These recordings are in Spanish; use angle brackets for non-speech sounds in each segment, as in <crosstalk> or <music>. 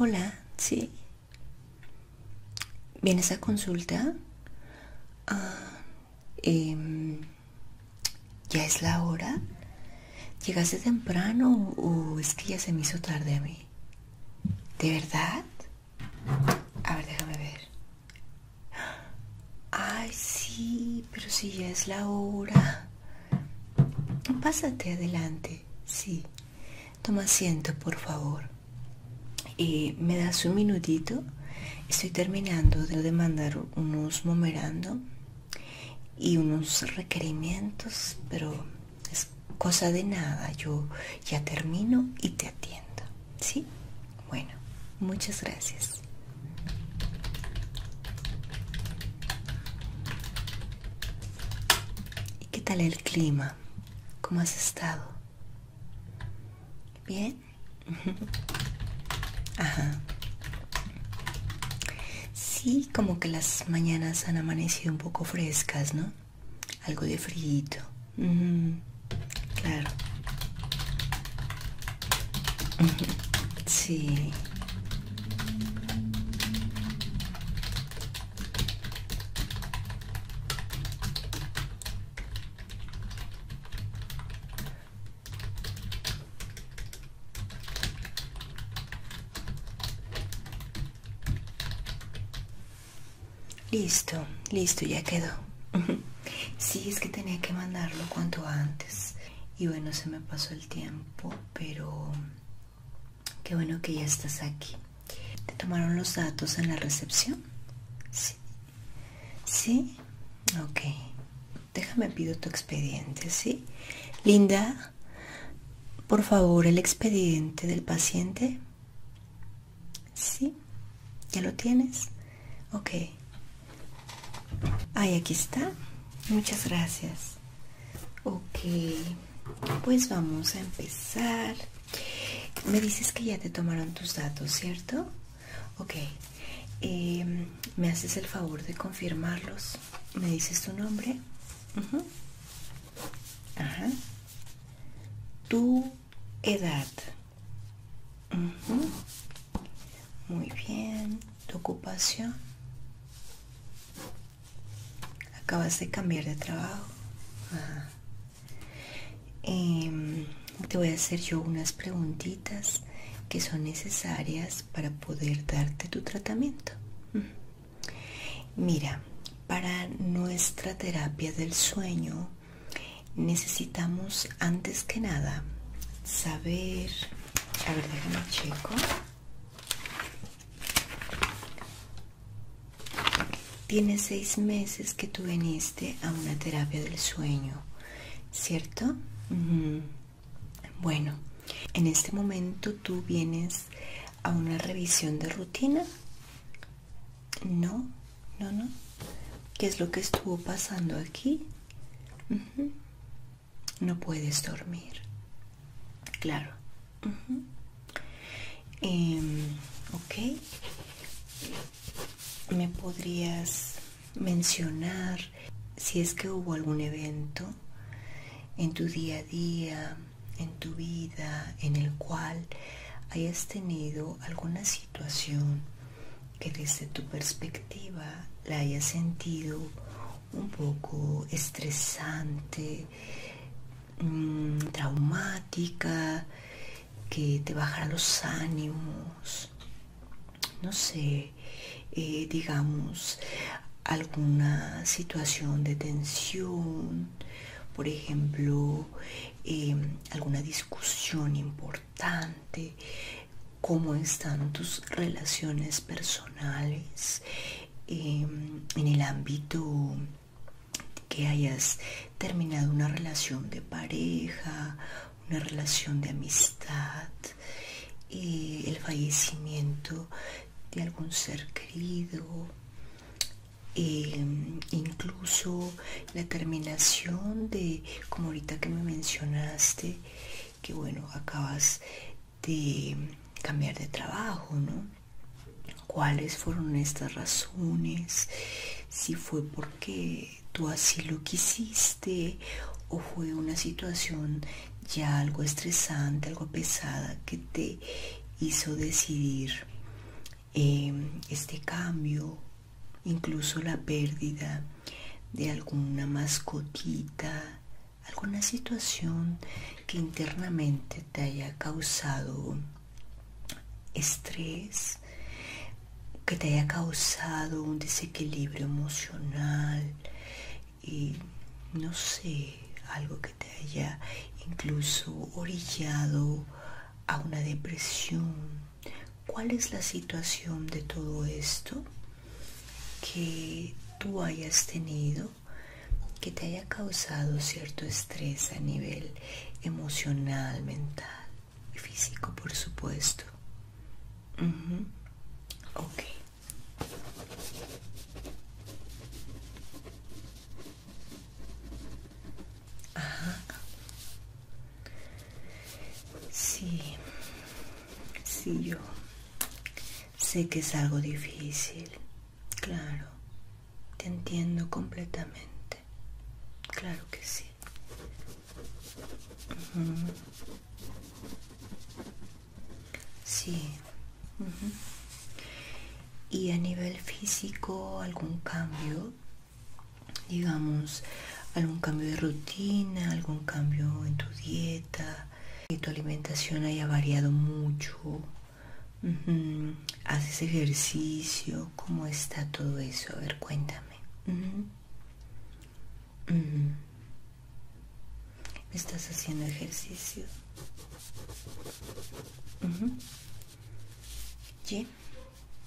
Hola, sí. ¿Vienes a consulta? Ah, em, ¿Ya es la hora? ¿Llegaste temprano o es que ya se me hizo tarde a mí? ¿De verdad? A ver, déjame ver. Ay, sí, pero si ya es la hora. Pásate adelante, sí. Toma asiento, por favor. Eh, ¿Me das un minutito? Estoy terminando de mandar unos memorandos y unos requerimientos, pero es cosa de nada. Yo ya termino y te atiendo. ¿Sí? Bueno, muchas gracias. ¿Y qué tal el clima? ¿Cómo has estado? ¿Bien? <laughs> Ajá. Sí, como que las mañanas han amanecido un poco frescas, ¿no? Algo de frío. Mhm, claro. Sí. Listo, listo, ya quedó. <laughs> sí, es que tenía que mandarlo cuanto antes. Y bueno, se me pasó el tiempo, pero qué bueno que ya estás aquí. ¿Te tomaron los datos en la recepción? Sí. Sí, ok. Déjame pido tu expediente, ¿sí? Linda, por favor, el expediente del paciente. Sí, ya lo tienes. Ok. ay aquí está. Muchas gracias. Ok, pues vamos a empezar. Me dices que ya te tomaron tus datos, ¿cierto? Ok, em, me haces el favor de confirmarlos. ¿Me dices tu nombre? Ajá. Tu edad. Muy bien, tu ocupación. Acabas de cambiar de trabajo. Em, te voy a hacer yo unas preguntitas que son necesarias para poder darte tu tratamiento. Mira, para nuestra terapia del sueño necesitamos antes que nada saber a ver déjame checo tiene seis meses que tú viniste a una terapia del sueño cierto bueno en este momento tú vienes a una revisión de rutina no, no, no. ¿Qué es lo que estuvo pasando aquí? No puedes dormir. Claro. Em, ok. ¿Me podrías mencionar si es que hubo algún evento en tu día a día, en tu vida, en el cual hayas tenido alguna situación que desde tu perspectiva la hayas sentido un poco estresante, mm, traumática, que te bajara los ánimos, no sé, eh, digamos, alguna situación de tensión, por ejemplo, Em, alguna discusión importante, cómo están tus relaciones personales em, en el ámbito que hayas terminado una relación de pareja, una relación de amistad, el fallecimiento de algún ser querido, Em, incluso la terminación de como ahorita que me mencionaste que bueno acabas de cambiar de trabajo no cuáles fueron estas razones si fue porque tú así lo quisiste o fue una situación ya algo estresante algo pesada que te hizo decidir Em, este cambio, incluso la pérdida de alguna mascotita, alguna situación que internamente te haya causado estrés, que te haya causado un desequilibrio emocional y no sé, algo que te haya incluso orillado a una depresión ¿Cuál es la situación de todo esto que tú hayas tenido que te haya causado cierto estrés a nivel emocional, mental y físico, por supuesto? Ok. Sí, sí, yo sé que es algo difícil, claro, te entiendo completamente, claro que sí. Sí. ¿Y a nivel físico algún cambio? digamos, algún cambio de rutina, algún cambio en tu dieta, que tu alimentación haya variado mucho, haces ejercicio, ¿cómo está todo eso? A ver, cuéntame. ¿Estás haciendo ejercicio?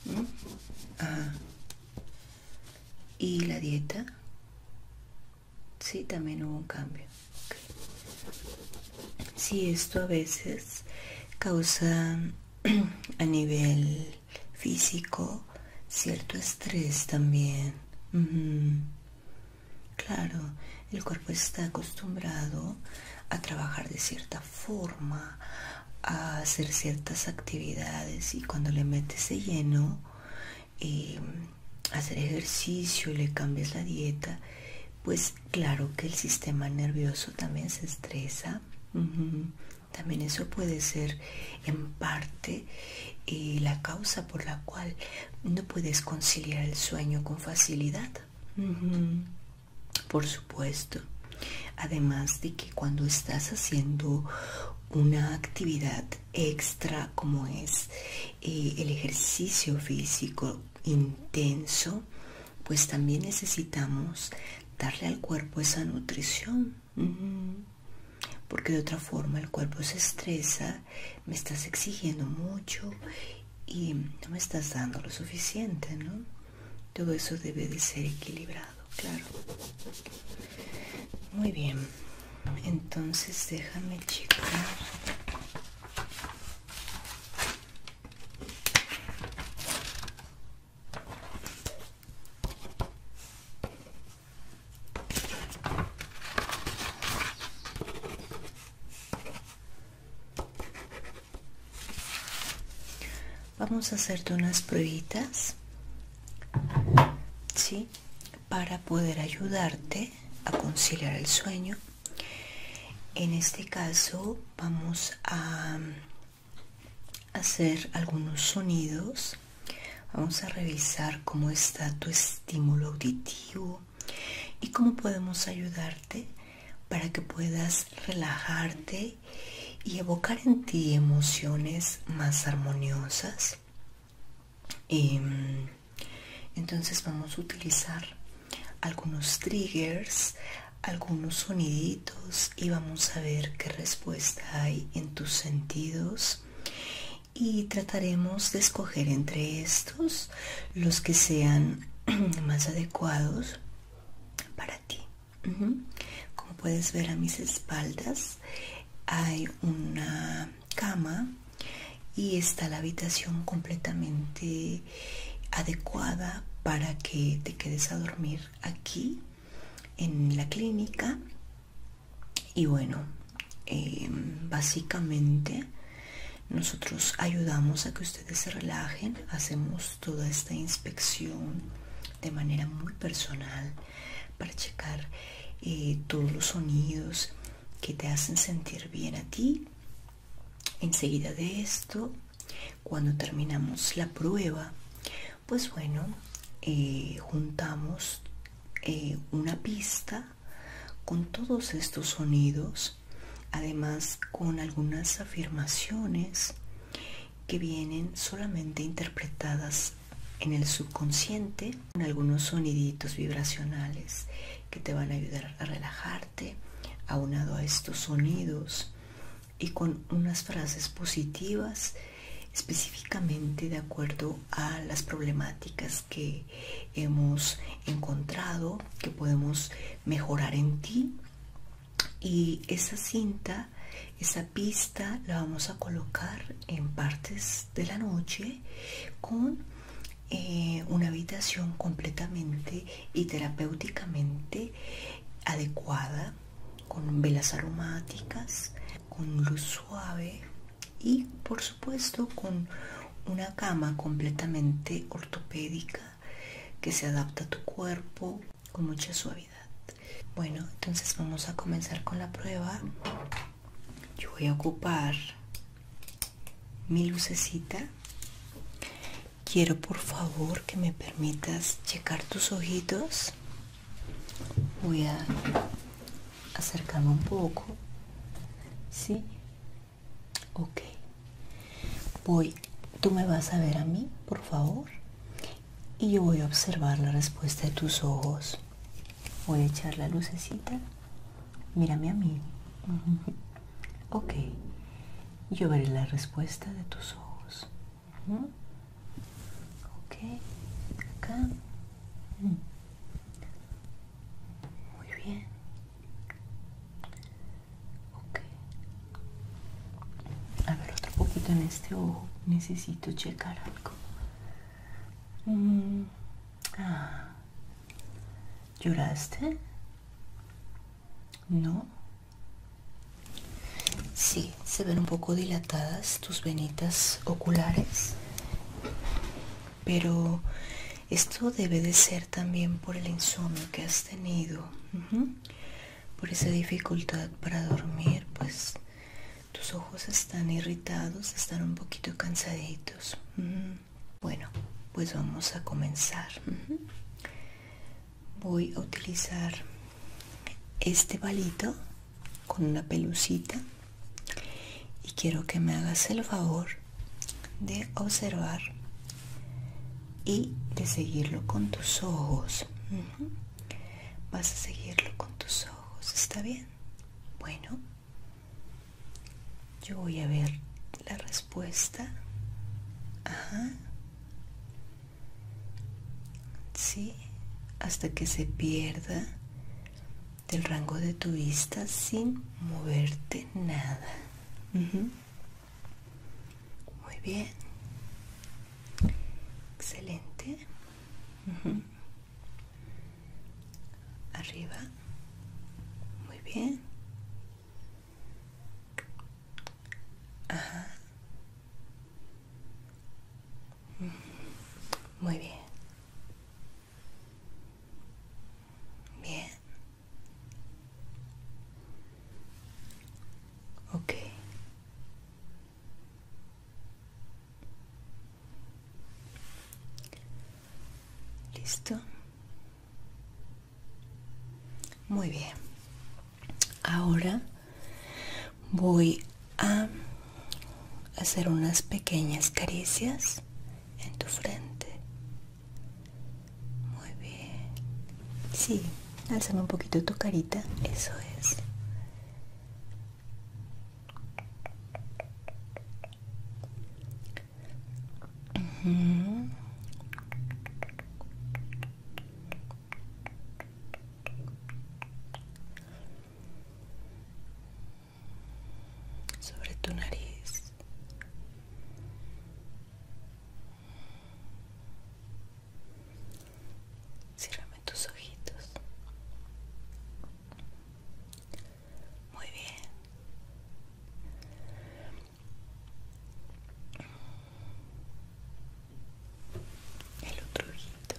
¿Mm? Ah. ¿Y la dieta? si, también hubo un cambio. si, esto a veces causa <clears throat> a nivel físico cierto estrés también. Claro, el cuerpo está acostumbrado a trabajar de cierta forma a hacer ciertas actividades y cuando le metes de lleno y em, hacer ejercicio le cambias la dieta pues claro que el sistema nervioso también se estresa también eso puede ser en parte eh, la causa por la cual no puedes conciliar el sueño con facilidad por supuesto. Además de que cuando estás haciendo una actividad extra como es eh, el ejercicio físico intenso, pues también necesitamos darle al cuerpo esa nutrición. Porque de otra forma el cuerpo se estresa, me estás exigiendo mucho y no me estás dando lo suficiente, ¿no? Todo eso debe de ser equilibrado, claro. Muy bien. Entonces déjame checar. Vamos a hacerte unas pruebas Para poder ayudarte a conciliar el sueño. En este caso vamos a mm, hacer algunos sonidos. Vamos a revisar cómo está tu estímulo auditivo y cómo podemos ayudarte para que puedas relajarte y evocar en ti emociones más armoniosas. Em, entonces vamos a utilizar algunos triggers, algunos soniditos y vamos a ver qué respuesta hay en tus sentidos y trataremos de escoger entre estos los que sean <clears throat> más adecuados para ti como puedes ver a mis espaldas hay una cama y está la habitación completamente adecuada para que te quedes a dormir aquí en la clínica y bueno em, básicamente nosotros ayudamos a que ustedes se relajen hacemos toda esta inspección de manera muy personal para checar eh, todos los sonidos que te hacen sentir bien a ti. Enseguida de esto, cuando terminamos la prueba, pues bueno, eh, juntamos eh, una pista con todos estos sonidos, además con algunas afirmaciones que vienen solamente interpretadas en el subconsciente con algunos soniditos vibracionales que te van a ayudar a relajarte, aunado a estos sonidos y con unas frases positivas específicamente de acuerdo a las problemáticas que hemos encontrado que podemos mejorar en ti y esa cinta esa pista la vamos a colocar en partes de la noche con eh, una habitación completamente y terapéuticamente adecuada con velas aromáticas con luz suave y por supuesto con una cama completamente ortopédica que se adapta a tu cuerpo con mucha suavidad. Bueno, entonces vamos a comenzar con la prueba. Yo voy a ocupar mi lucecita. Quiero por favor que me permitas checar tus ojitos. Voy a acercarme un poco. si? Ok. Voy, tú me vas a ver a mí, por favor, y yo voy a observar la respuesta de tus ojos. Voy a echar la lucecita. Mírame a mí. Ok. Yo veré la respuesta de tus ojos. Ok. Acá. Muy bien. A ver, otro poquito en este ojo. Necesito checar algo. Mm. Ah. ¿Lloraste? No. si, se ven un poco dilatadas tus venitas oculares, pero esto debe de ser también por el insomnio que has tenido por esa dificultad para dormir, pues tus ojos están irritados, están un poquito cansaditos. Mm, bueno, pues vamos a comenzar. Voy a utilizar este palito con una pelucita y quiero que me hagas el favor de observar y de seguirlo con tus ojos. Vas a seguirlo con tus ojos, ¿está bien? Bueno, yo voy a ver la respuesta. Sí, hasta que se pierda del rango de tu vista sin moverte nada. Muy bien. Excelente. Arriba. Muy bien. Ajá. Muy bien. Bien. Ok. Listo. Muy bien. Ahora voy a hacer unas pequeñas caricias en tu frente muy bien. Sí, alzame un poquito tu carita. Eso es. sobre tu nariz Cierrame tus ojitos. Muy bien. El otro ojito.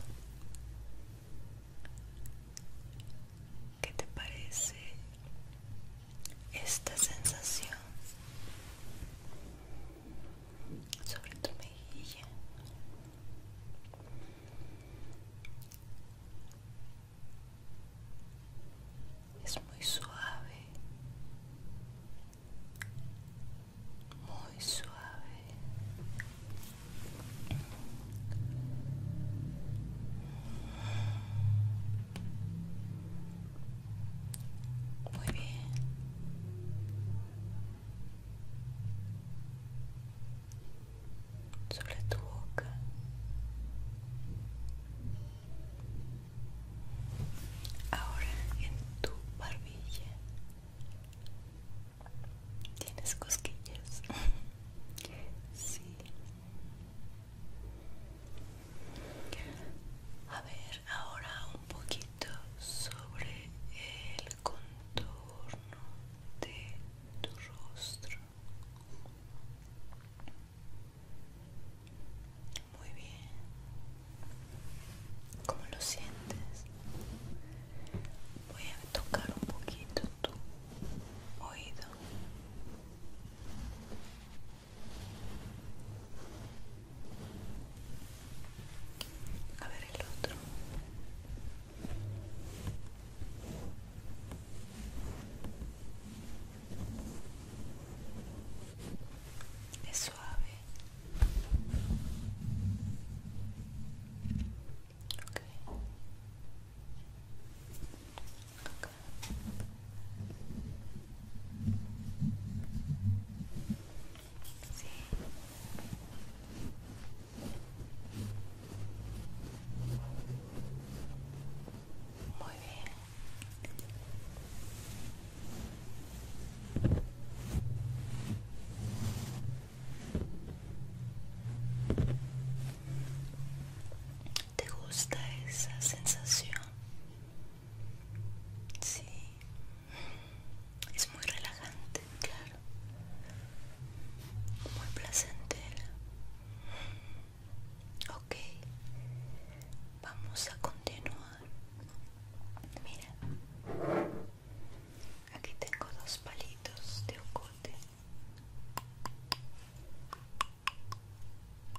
¿Qué te parece esta sensación? sobre tu mejilla es muy suave muy suave muy bien sobre tu boca ahora en tu barbilla tienes cosquillas <laughs> sí a ver, ahora un poquito sobre el contorno de tu rostro. Muy bien. ¿Cómo lo sientes? Voy a tocar un poquito tu oído. A ver el otro. Es suave. Okay. Muy bien. ¿Te gusta esa sensación? Sí. Es muy relajante, claro. Muy placentera. Ok. Vamos a continuar. Mira. Aquí tengo dos palitos de ocote.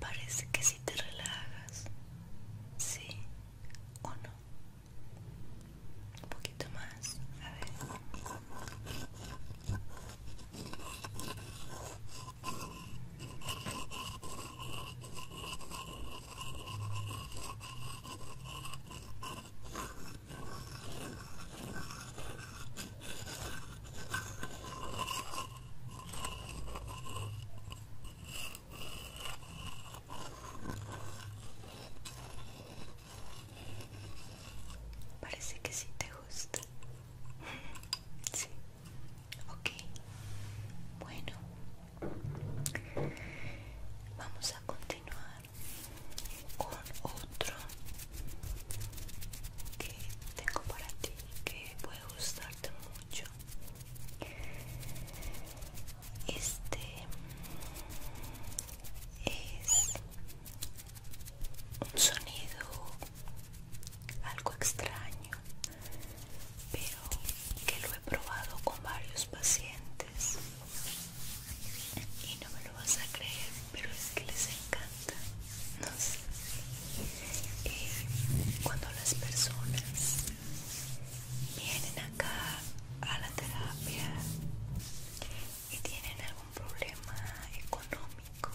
Parece que si te relajas, sí o no. Un poquito más, a ver. Parece que sí te gusta. <laughs> Sí. Okay. Bueno. Vamos a continuar con otro que tengo para ti que puede gustarte mucho este es un sonido algo extraño pero que lo he probado con varios pacientes y no me lo vas a creer, pero es que les encanta. No sé. Eh, cuando las personas vienen acá a la terapia y tienen algún problema económico,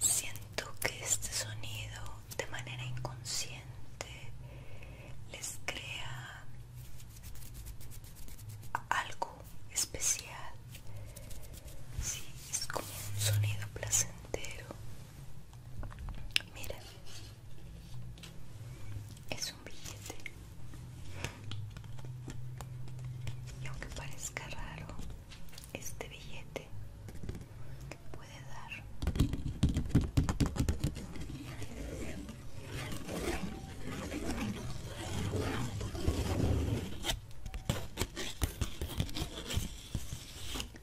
siento que este sonido de manera inconsciente les crea algo especial. si, es como un sonido placentero. miren, es un billete. Y aunque parezca raro, este billete puede dar.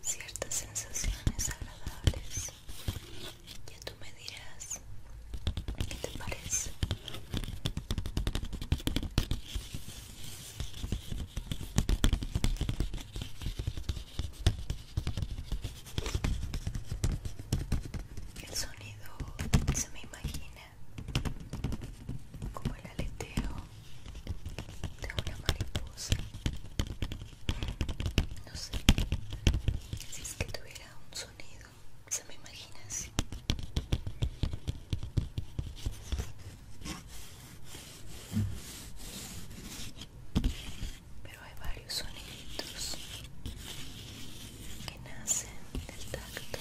Ciertas sensaciones agradables. Ya tú me dirás qué te parece. El sonido se me imagina como el aleteo de una mariposa. No sé si es que tuviera un sonido, se me imagina así pero hay varios soniditos que nacen del tacto.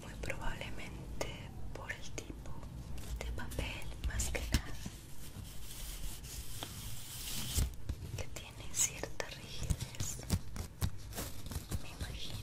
Muy probablemente por el tipo de papel más que nada que tiene cierta rigidez, me imagino.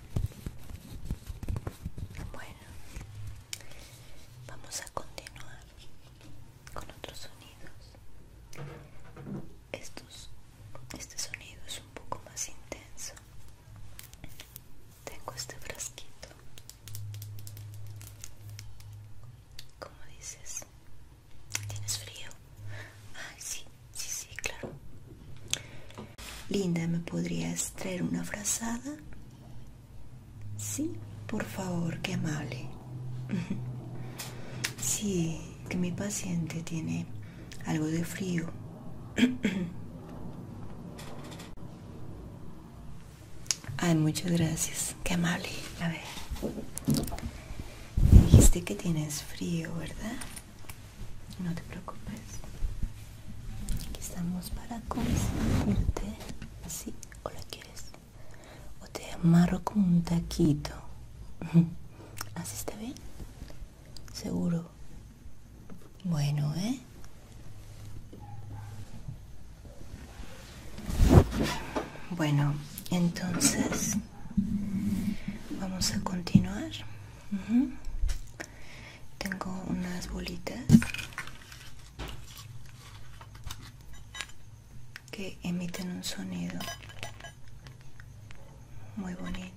Bueno, vamos a continuar con otros sonidos. Estos, este sonido es un poco más intenso. Tengo este frasquito. ¿Cómo dices? ¿Tienes frío? Ay, sí, sí, sí, claro. Linda, ¿me podrías traer una frazada? Sí, por favor, qué amable. <laughs> Sí, que mi paciente tiene algo de frío. <clears throat> Ay, muchas gracias. Qué amable. A ver. dijiste que tienes frío, ¿verdad? No te preocupes. Aquí estamos para consentirte. sí o la quieres. O te amarro como un taquito. <laughs> ¿Así está bien? Seguro. Bueno, ¿eh? Bueno, entonces Vamos a continuar. Tengo unas bolitas que emiten un sonido muy bonito.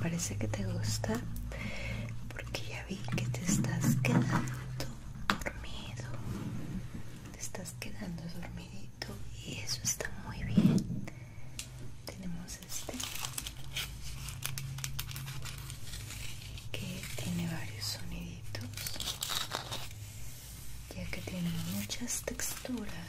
Parece que te gusta porque ya vi que te estás quedando dormido. Te estás quedando dormidito y eso está muy bien tenemos este que tiene varios soniditos ya que tiene muchas texturas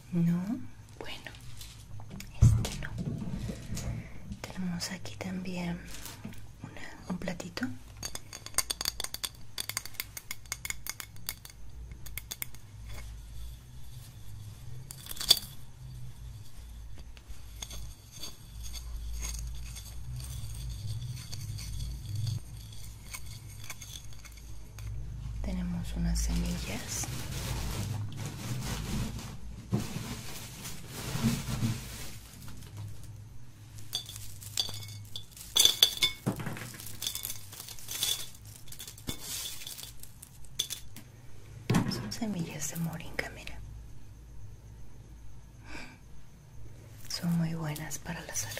No, bueno, este no. Tenemos aquí también un platito. Tenemos unas semillas. Son semillas de moringa, mira. Son muy buenas para la salud.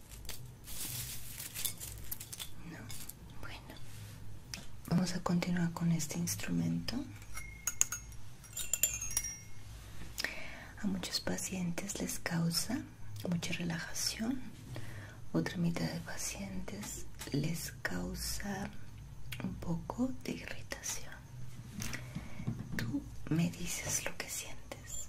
Bueno, vamos a continuar con este instrumento. A muchos pacientes les causa mucha relajación, otra mitad de pacientes les causa un poco de irritación. Tú me dices lo que sientes.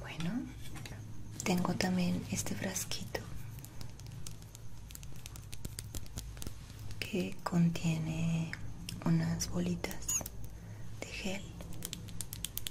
Bueno, tengo también este frasquito que contiene unas bolitas de gel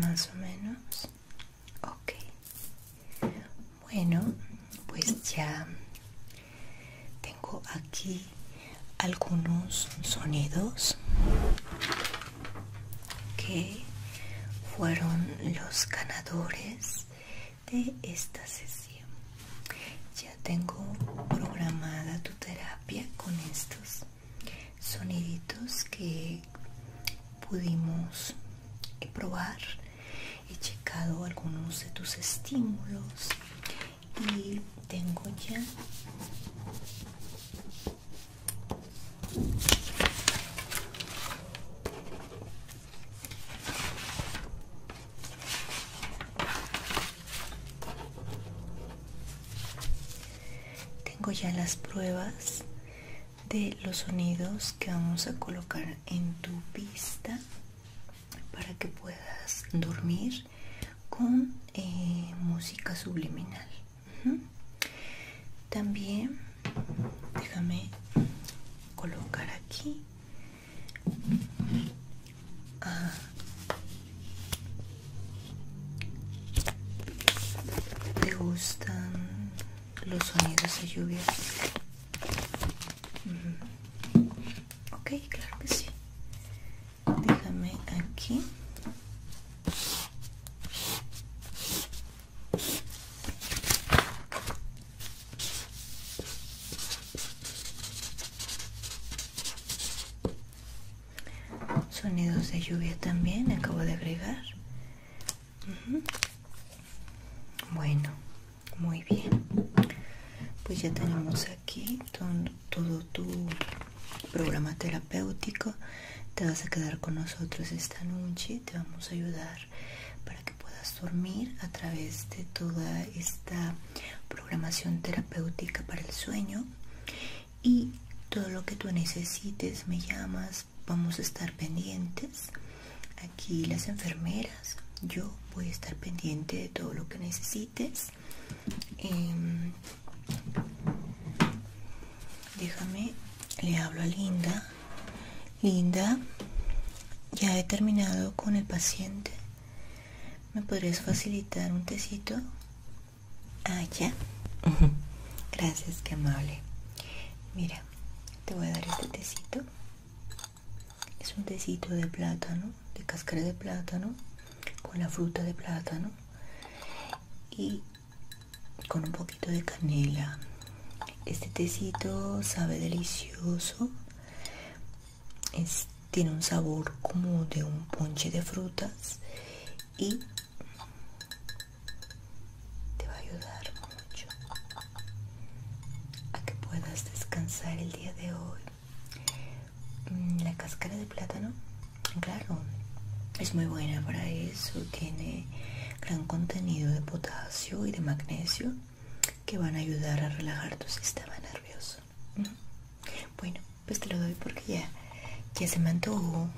más o menos ok bueno pues ya tengo aquí algunos sonidos que fueron los ganadores de esta sesión. Ya tengo programada tu terapia con estos soniditos que pudimos probar. He checado algunos de tus estímulos y tengo ya tengo ya las pruebas de los sonidos que vamos a colocar en tu pista para que puedas dormir con eh, música subliminal. También déjame colocar aquí me ah. ¿Te gustan los sonidos de lluvia? Okay, claro que sí. Déjame aquí. Sonidos de lluvia también acabo de agregar. Bueno, muy bien. Pues ya tenemos aquí todo, todo tu programa terapéutico. Te vas a quedar con nosotros esta noche. Te vamos a ayudar que puedas dormir a través de toda esta programación terapéutica para el sueño y todo lo que tú necesites me llamas vamos a estar pendientes aquí las enfermeras yo voy a estar pendiente de todo lo que necesites em, déjame le hablo a linda linda ya he terminado con el paciente ¿Me podrías facilitar un tecito? Ah, ya. Gracias, que amable. Mira, te voy a dar este tecito. Es un tecito de plátano, de cáscara de plátano, con la fruta de plátano y con un poquito de canela. Este tecito sabe delicioso tiene un sabor como de un ponche de frutas y te va a ayudar mucho a que puedas descansar el día de hoy. Mm, la cáscara de plátano, claro, es muy buena para eso, tiene gran contenido de potasio y de magnesio que van a ayudar a relajar tu sistema nervioso. Bueno, pues te lo doy porque ya, ya se me antojó.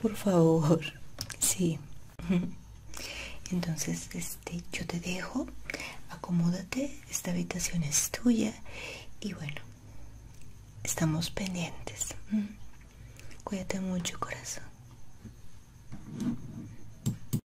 Por favor, sí. Entonces, este, yo te dejo, acomódate, esta habitación es tuya y bueno, estamos pendientes. Cuídate mucho, corazón.